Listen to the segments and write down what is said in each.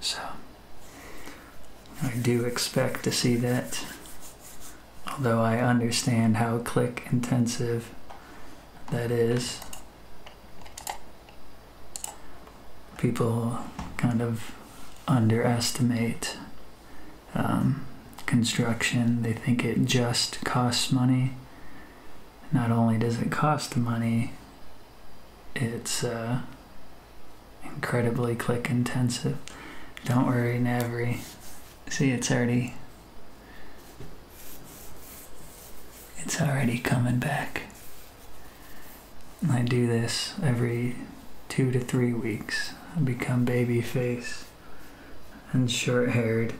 So I do expect to see that. Although I understand how click intensive that is. People kind of underestimate um, construction. They think it just costs money. Not only does it cost money, it's uh, incredibly click intensive. Don't worry, Navri. See, it's already it's already coming back. I do this every two to three weeks. I become baby face and short haired.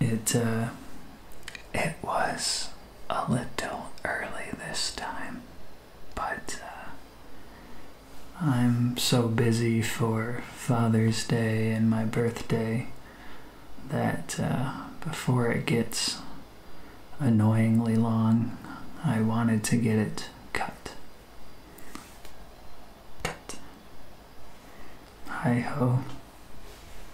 It uh, it was a little early this time, but uh, I'm so busy for Father's Day and my birthday that uh, before it gets annoyingly long, I wanted to get it cut. Hi ho.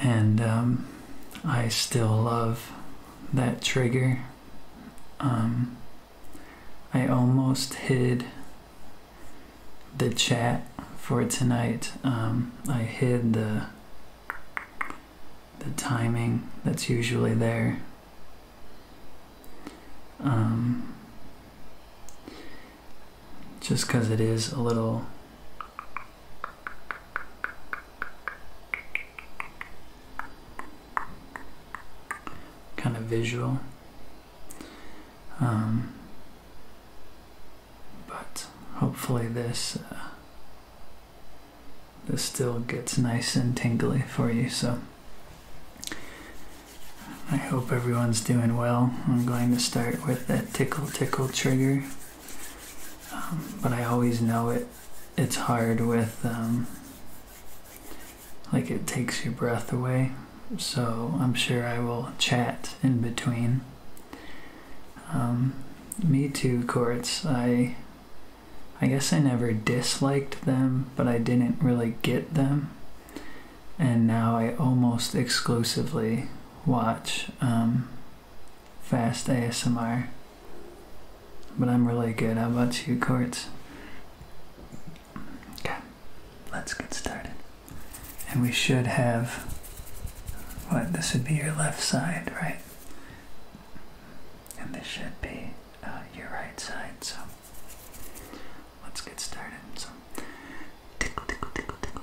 and um, I still love that trigger. Um, I almost hid the chat for tonight. Um, I hid the the timing that's usually there. just because it is a little kind of visual. Um, but hopefully this uh, this still gets nice and tingly for you. So I hope everyone's doing well. I'm going to start with that tickle tickle trigger. Um, but I always know it. It's hard with um, like it takes your breath away. So I'm sure I will chat in between. Um, me too, courts. I I guess I never disliked them, but I didn't really get them. And now I almost exclusively watch fast ASMR. But I'm really good. How about you, Courts? Okay, let's get started. And we should have what? This would be your left side, right? And this should be uh, your right side. So let's get started. So tickle, tickle, tickle, tickle.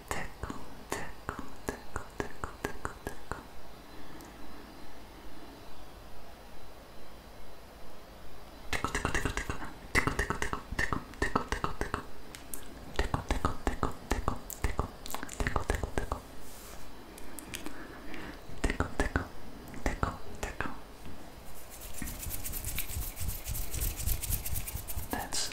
tickle, tickle, tickle, tickle, tickle, tickle. Tickle, tickle, tickle, tickle, tickle, tickle, tickle, tickle, tickle, tickle, tickle, tickle, tickle, tickle, tickle, tickle, tickle, tickle, tickle. Tickle, tickle, tickle, tickle. That's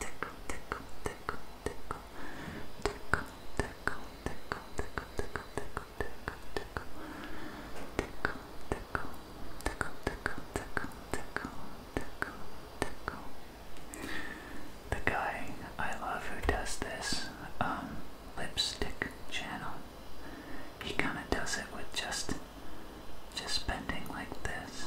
the guy I love who does this, um, lipstick channel, he kind of does it with just, just bending like this,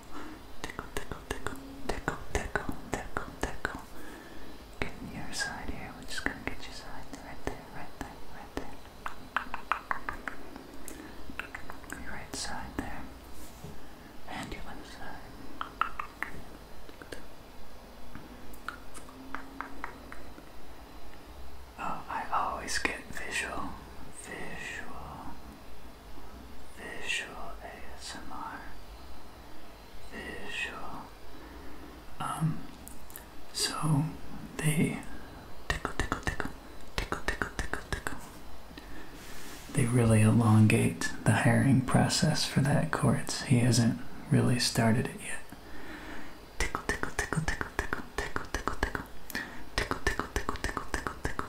tickle, tickle, tickle, tickle, tickle, tickle, tickle, tickle. Getting your side here, we're just gonna get your side right there, right there, right there. Your right side there. And your left side. Oh, I always get visual, visual, Visual ASMR. Visual. Um, so they tickle, tickle, tickle, tickle, tickle, tickle, tickle. They really elongate the hiring process for that chords. He hasn't really started it yet. Tickle, tickle, tickle, tickle, tickle, tickle, tickle, tickle, tickle, tickle, tickle, tickle, tickle, tickle,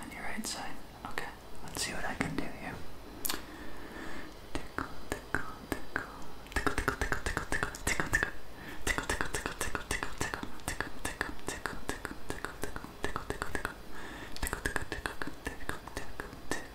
On your right side. Okay, let's see what I can do here. Tickle, tickle, tickle, tickle, tickle, tickle, tickle, tickle, tickle, tickle. Tickle, tickle, tickle, tickle, tickle, tickle, tickle, tickle, tickle, tickle, tickle, tickle, tickle, tickle, tickle. Tickle, tickle, tickle, tickle, tickle, tickle, tickle, tickle.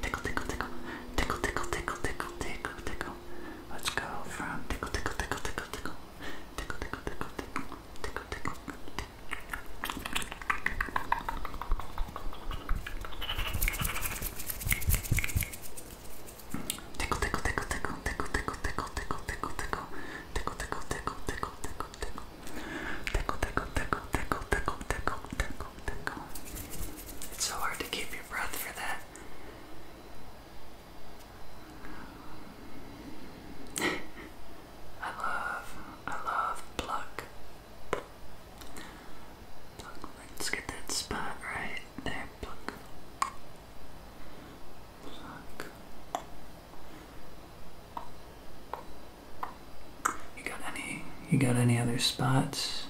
Tickle, tickle, tickle. Tickle, tickle, tickle, tickle, tickle, tickle. Let's go from tickle, tickle, tickle, tickle, tickle. Tickle, tickle, tickle, tickle. Tickle, tickle. Tickle, tickle, tickle, tickle, tickle, tickle, tickle, tickle, tickle, tickle. Tickle, tickle, tickle, tickle, tickle, tickle. Tickle, tickle, tickle, tickle, tickle, tickle, tickle. It's so hard to keep your breath for that. I love, I love pluck. Let's get that spot right there. Pluck. You got any? You got any other spots?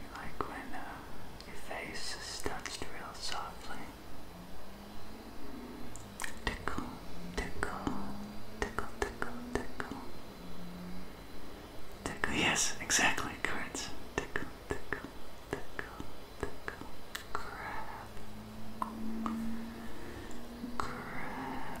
You like when uh, your face is touched real softly. Tickle, tickle, tickle, tickle, tickle. yes, exactly, correct. Tickle, tickle, tickle, tickle. Crab. Crab.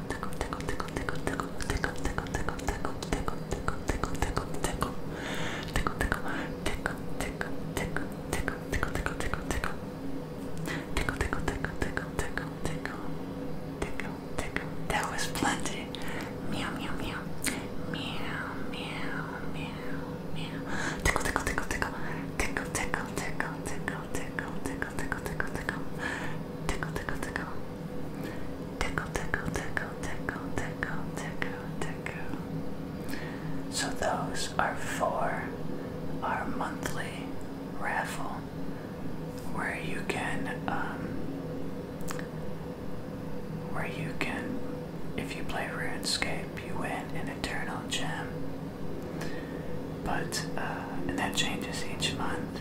That was plenty. Meow meow meow. Meow meow meow meow. Tickle tickle tickle tickle. Tickle tickle tickle tickle tickle tickle tickle tickle tickle tickle tickle tickle Tickle, tickle, tickle, tickle, tickle, tickle, tickle. So those are for our monthly raffle where you can um, where you can if you play RuneScape you win an eternal gem. But uh, and that changes each month.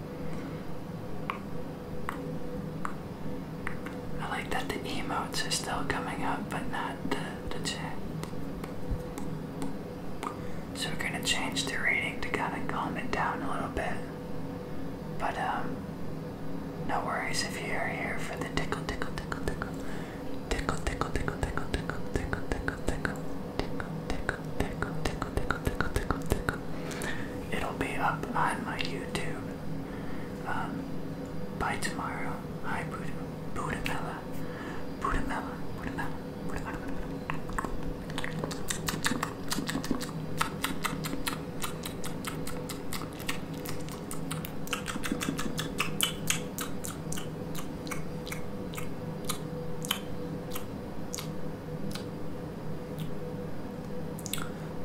I like that the emotes are still coming up, but not the, the chat. So we're gonna change the rating to kind of calm it down a little bit. But um, no worries if you're here for the tickle, tickle, tickle, tickle, tickle, tickle, tickle, tickle, tickle, tickle, tickle, tickle, tickle, tickle, tickle tickle, tickle, tickle, tickle, tickle, tickle, It'll be up on my YouTube um, by tomorrow. Hi, Buddha, Budamella, Budamella, Budamella, Budamella.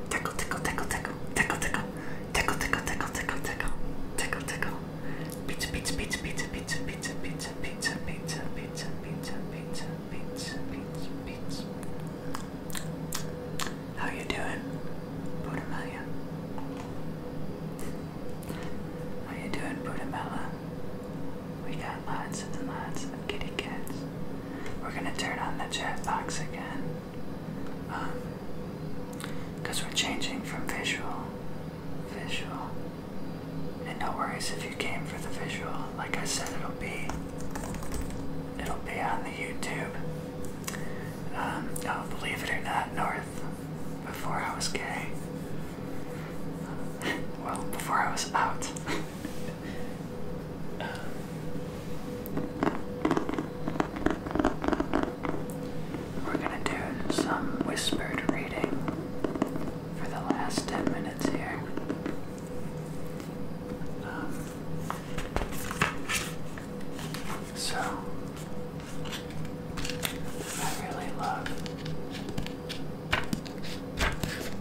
Tickle, tickle, tickle, tickle, tickle, tickle, tickle, tickle, tickle, tickle, tickle, tickle, tickle. Pizza, pizza, pizza, pizza, pizza, pizza, pizza, pizza, pizza, pizza, pizza, pizza, pizza, pizza, pizza. How you doing, Budamaya? How you doing, Budamella? We got lots and lots of kitty cats. We're gonna turn on the chat box again. Um, because we're changing from visual, visual. And no worries if you came for the visual. Like I said, it'll be, it'll be on the YouTube. Um, oh, believe it or not, North, before I was gay, well, before I was out. we're gonna do some whispered reading for the last 10 minutes here. so, I really love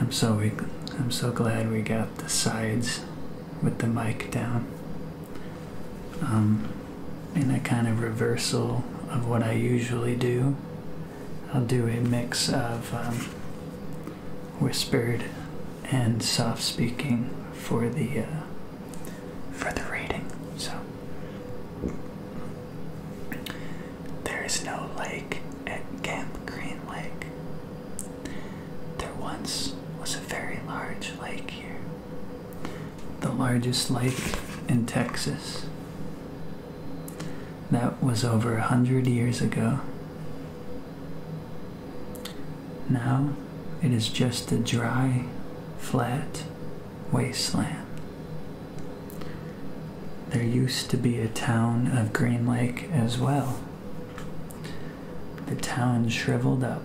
I'm so we, I'm so glad we got the sides with the mic down. Um, in a kind of reversal of what I usually do, I'll do a mix of um, whispered and soft speaking for the uh, for the rating. So there is no lake at Camp Green Lake. There once was a very large lake here, the largest lake in Texas. That was over a hundred years ago. Now it is just a dry, flat wasteland. There used to be a town of Green Lake as well. The town shriveled up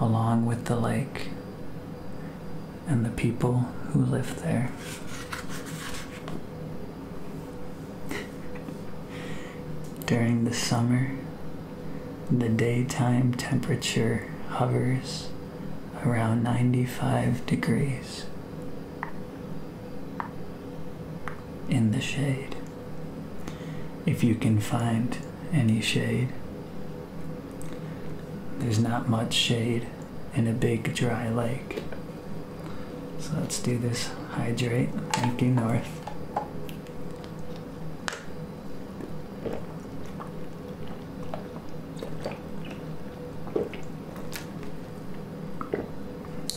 along with the lake and the people who lived there. During the summer, the daytime temperature hovers around 95 degrees in the shade. If you can find any shade, there's not much shade in a big dry lake. So let's do this hydrate, thank you, North.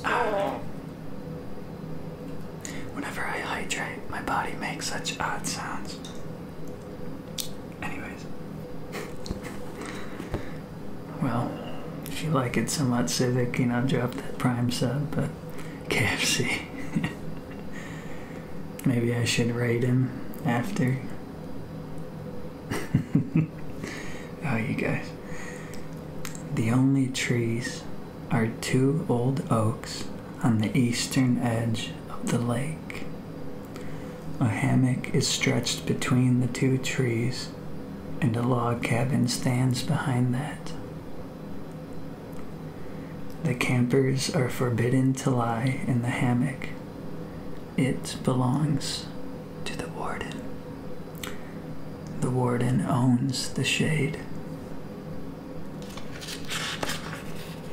Ah. Whenever I hydrate, my body makes such odd sounds. Anyways. well, if you like it somewhat civic, I'll drop that prime sub, but KFC. Maybe I should rate him after. oh, you guys. The only trees are two old oaks on the eastern edge of the lake. A hammock is stretched between the two trees, and a log cabin stands behind that. The campers are forbidden to lie in the hammock, it belongs to the warden. The warden owns the shade.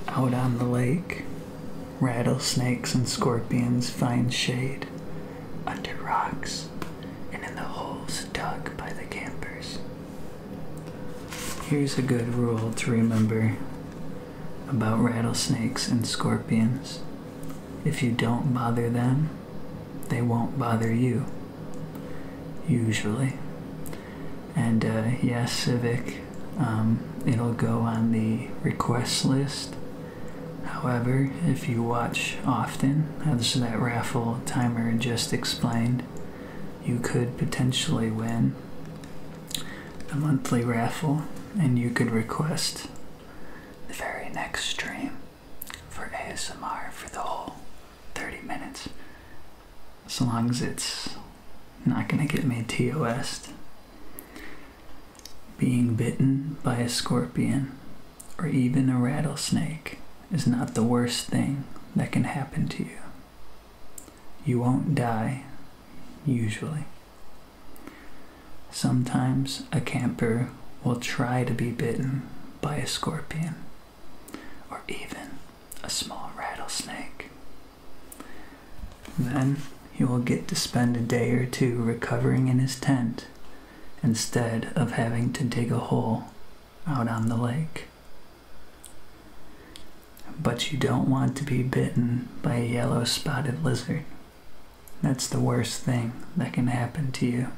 Out on the lake, rattlesnakes and scorpions find shade under rocks and in the holes dug by the campers. Here's a good rule to remember about rattlesnakes and scorpions. If you don't bother them, they won't bother you. Usually. And uh, yes, Civic, um, it'll go on the request list. However, if you watch often, as that raffle timer just explained, you could potentially win The monthly raffle and you could request the very next stream for ASMR for the whole 30 minutes. As long as it's not gonna get me tos Being bitten by a scorpion or even a rattlesnake is not the worst thing that can happen to you. You won't die, usually. Sometimes a camper will try to be bitten by a scorpion or even a small rattlesnake. Then he will get to spend a day or two recovering in his tent instead of having to dig a hole out on the lake. But you don't want to be bitten by a yellow spotted lizard that's the worst thing that can happen to you.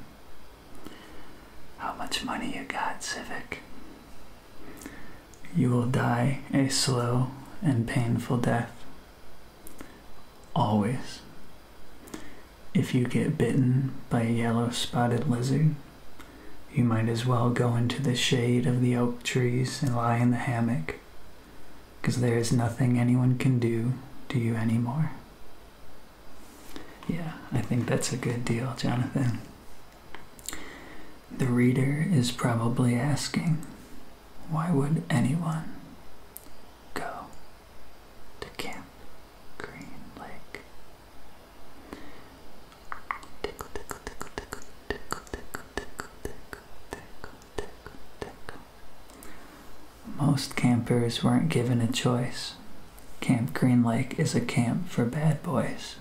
How much money you got, Civic? You will die a slow and painful death. Always. If you get bitten by a yellow spotted lizard, you might as well go into the shade of the oak trees and lie in the hammock because there is nothing anyone can do to you anymore. Yeah, I think that's a good deal, Jonathan. The reader is probably asking, why would anyone go to Camp Green Lake? Most campers weren't given a choice. Camp Green Lake is a camp for bad boys.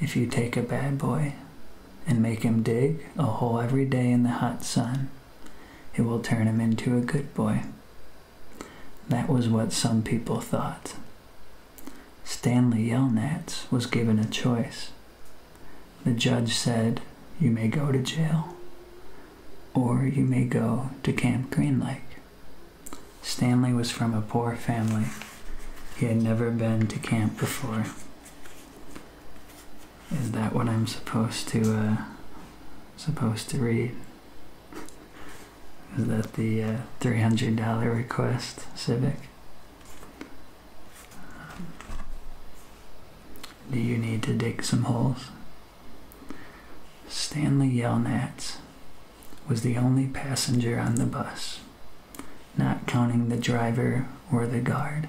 If you take a bad boy and make him dig a hole every day in the hot sun, it will turn him into a good boy. That was what some people thought. Stanley Yelnats was given a choice. The judge said, You may go to jail, or you may go to Camp Green Lake. Stanley was from a poor family. He had never been to camp before. Is that what I'm supposed to uh, supposed to read? Is that the uh, $300 request, Civic? Do you need to dig some holes? Stanley Yelnats was the only passenger on the bus, not counting the driver or the guard.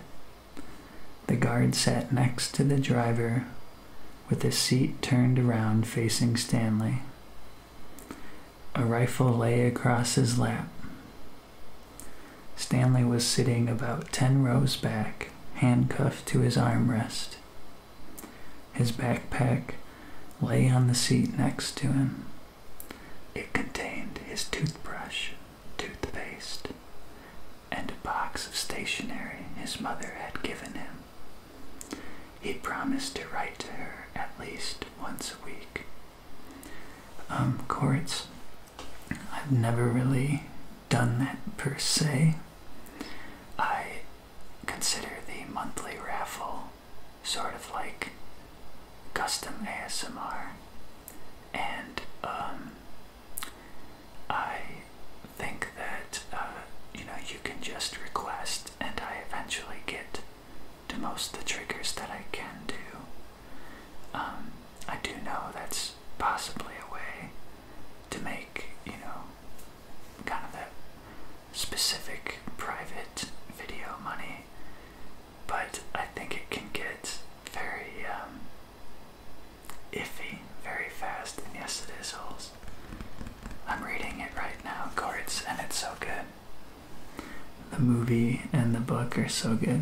The guard sat next to the driver with his seat turned around facing Stanley. A rifle lay across his lap. Stanley was sitting about ten rows back, handcuffed to his armrest. His backpack lay on the seat next to him. It contained his toothbrush, toothpaste, and a box of stationery his mother had given him. He promised to write to her at least once a week. Um, Quartz, I've never really done that per se. I consider the monthly raffle sort of like custom ASMR, and um, I think that uh, you know you can just request, and I eventually get to most of the triggers that I can do. Um, I do know that's possibly a way to make, you know, kind of that specific private video money, but I think it can get very um, iffy very fast. And yes, it is holes. I'm reading it right now, Courts, and it's so good. The movie and the book are so good.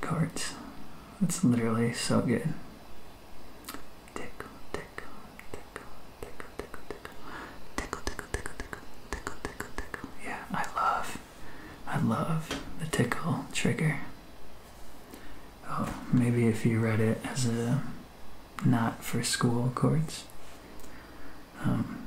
Cards. It's literally so good. Tickle, tickle, tickle, tickle, tickle, tickle, tickle, tickle, tickle, tickle, tickle, tickle. Yeah, I love, I love the tickle trigger. Oh, maybe if you read it as a not for school cards. Um,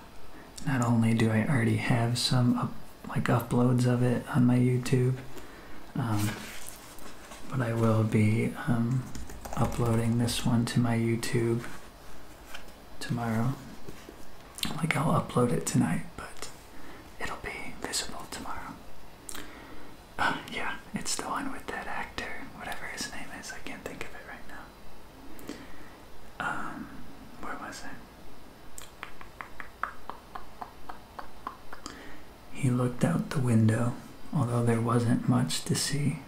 not only do I already have some like uploads of it on my YouTube, um, but I will be um, uploading this one to my YouTube tomorrow. Like I'll upload it tonight, but it'll be visible tomorrow. Uh, yeah, it's the one with that actor, whatever his name is. I can't think of it right now. Um, where was I? He looked out the window, although there wasn't much to see.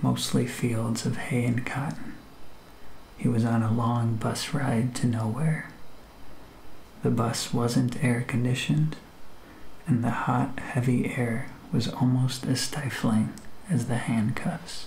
Mostly fields of hay and cotton. He was on a long bus ride to nowhere. The bus wasn't air conditioned, and the hot, heavy air was almost as stifling as the handcuffs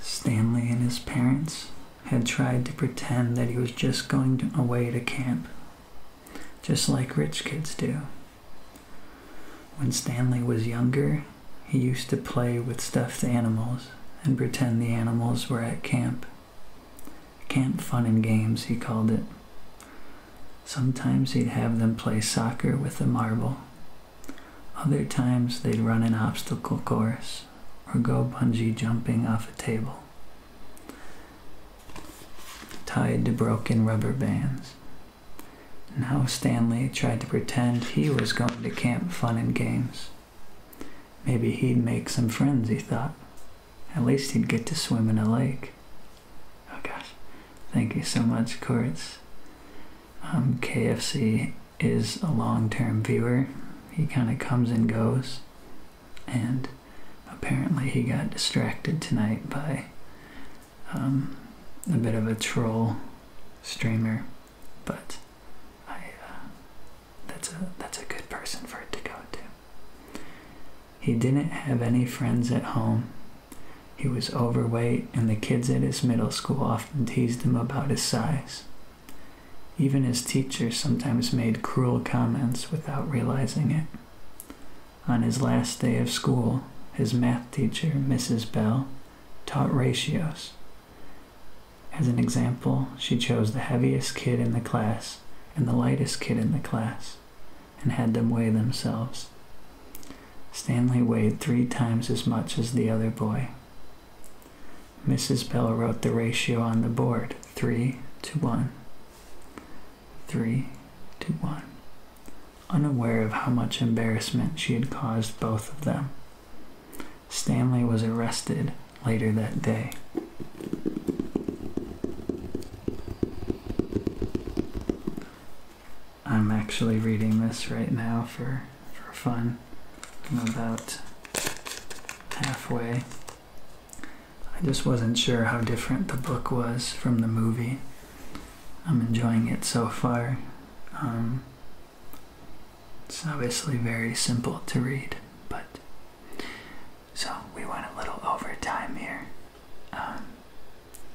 Stanley and his parents had tried to pretend that he was just going away to camp, just like rich kids do. When Stanley was younger, he used to play with stuffed animals and pretend the animals were at camp. Camp fun and games, he called it. Sometimes he'd have them play soccer with a marble other times they'd run an obstacle course or go bungee jumping off a table, tied to broken rubber bands. Now Stanley tried to pretend he was going to Camp Fun and Games. Maybe he'd make some friends, he thought. At least he'd get to swim in a lake. Oh gosh, thank you so much, Kurtz. Um, KFC is a long term viewer. He kind of comes and goes. And apparently, he got distracted tonight by um, a bit of a troll streamer. But uh, that's, a, that's a good person for it to go to. He didn't have any friends at home, he was overweight, and the kids at his middle school often teased him about his size. Even his teachers sometimes made cruel comments without realizing it. On his last day of school, his math teacher, Mrs. Bell, taught ratios. As an example, she chose the heaviest kid in the class and the lightest kid in the class and had them weigh themselves. Stanley weighed three times as much as the other boy. Mrs. Bell wrote the ratio on the board 3 to 1. 3 to 1. Unaware of how much embarrassment she had caused both of them, Stanley was arrested later that day. I'm actually reading this right now for, for fun. I'm about halfway. I just wasn't sure how different the book was from the movie. I'm enjoying it so far. Um, it's obviously very simple to read, but so we went a little over time here. Um,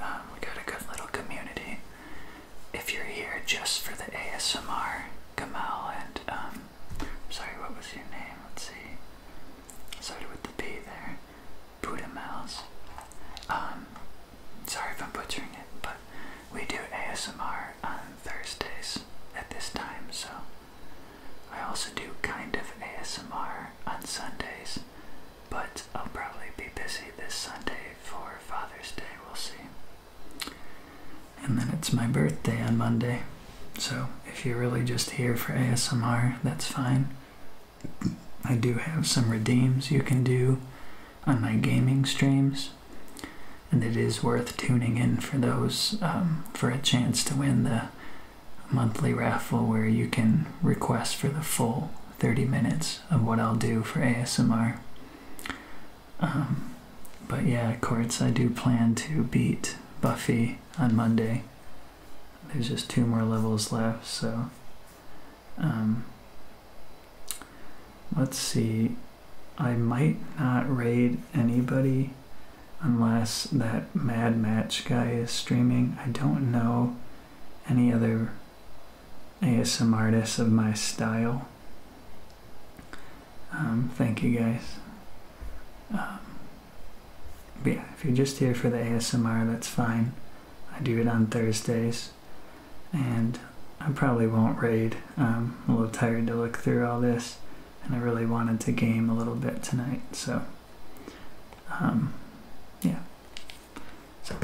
Um, we got a good little community. If you're here just for the ASMR, Gamal and um, sorry, what was your name? Let's see. Started with the B there. Buddha Mouse. Um, sorry if I'm butchering it, but we do ASMR on Thursdays at this time, so I also do kind of ASMR on Sundays but I'll probably be busy this Sunday for Father's Day, we'll see. And then it's my birthday on Monday, so if you're really just here for ASMR, that's fine. I do have some redeems you can do on my gaming streams, and it is worth tuning in for those um, for a chance to win the monthly raffle where you can request for the full 30 minutes of what I'll do for ASMR. Um, but yeah, Courts, I do plan to beat Buffy on Monday. There's just two more levels left, so. Um, let's see. I might not raid anybody unless that Mad Match guy is streaming. I don't know any other ASMR artists of my style. Um, thank you guys. Um, but yeah, if you're just here for the ASMR, that's fine. I do it on Thursdays, and I probably won't raid. Um, I'm a little tired to look through all this, and I really wanted to game a little bit tonight, so yeah. So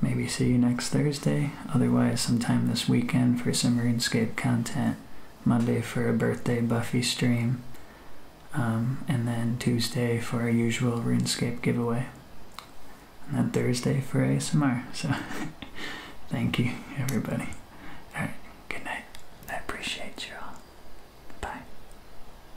maybe see you next Thursday, otherwise, sometime this weekend for some RuneScape content, Monday for a birthday Buffy stream, um, and then Tuesday for our usual RuneScape giveaway, and then Thursday for ASMR. So thank you, everybody. All right, good night. I appreciate you all. Bye.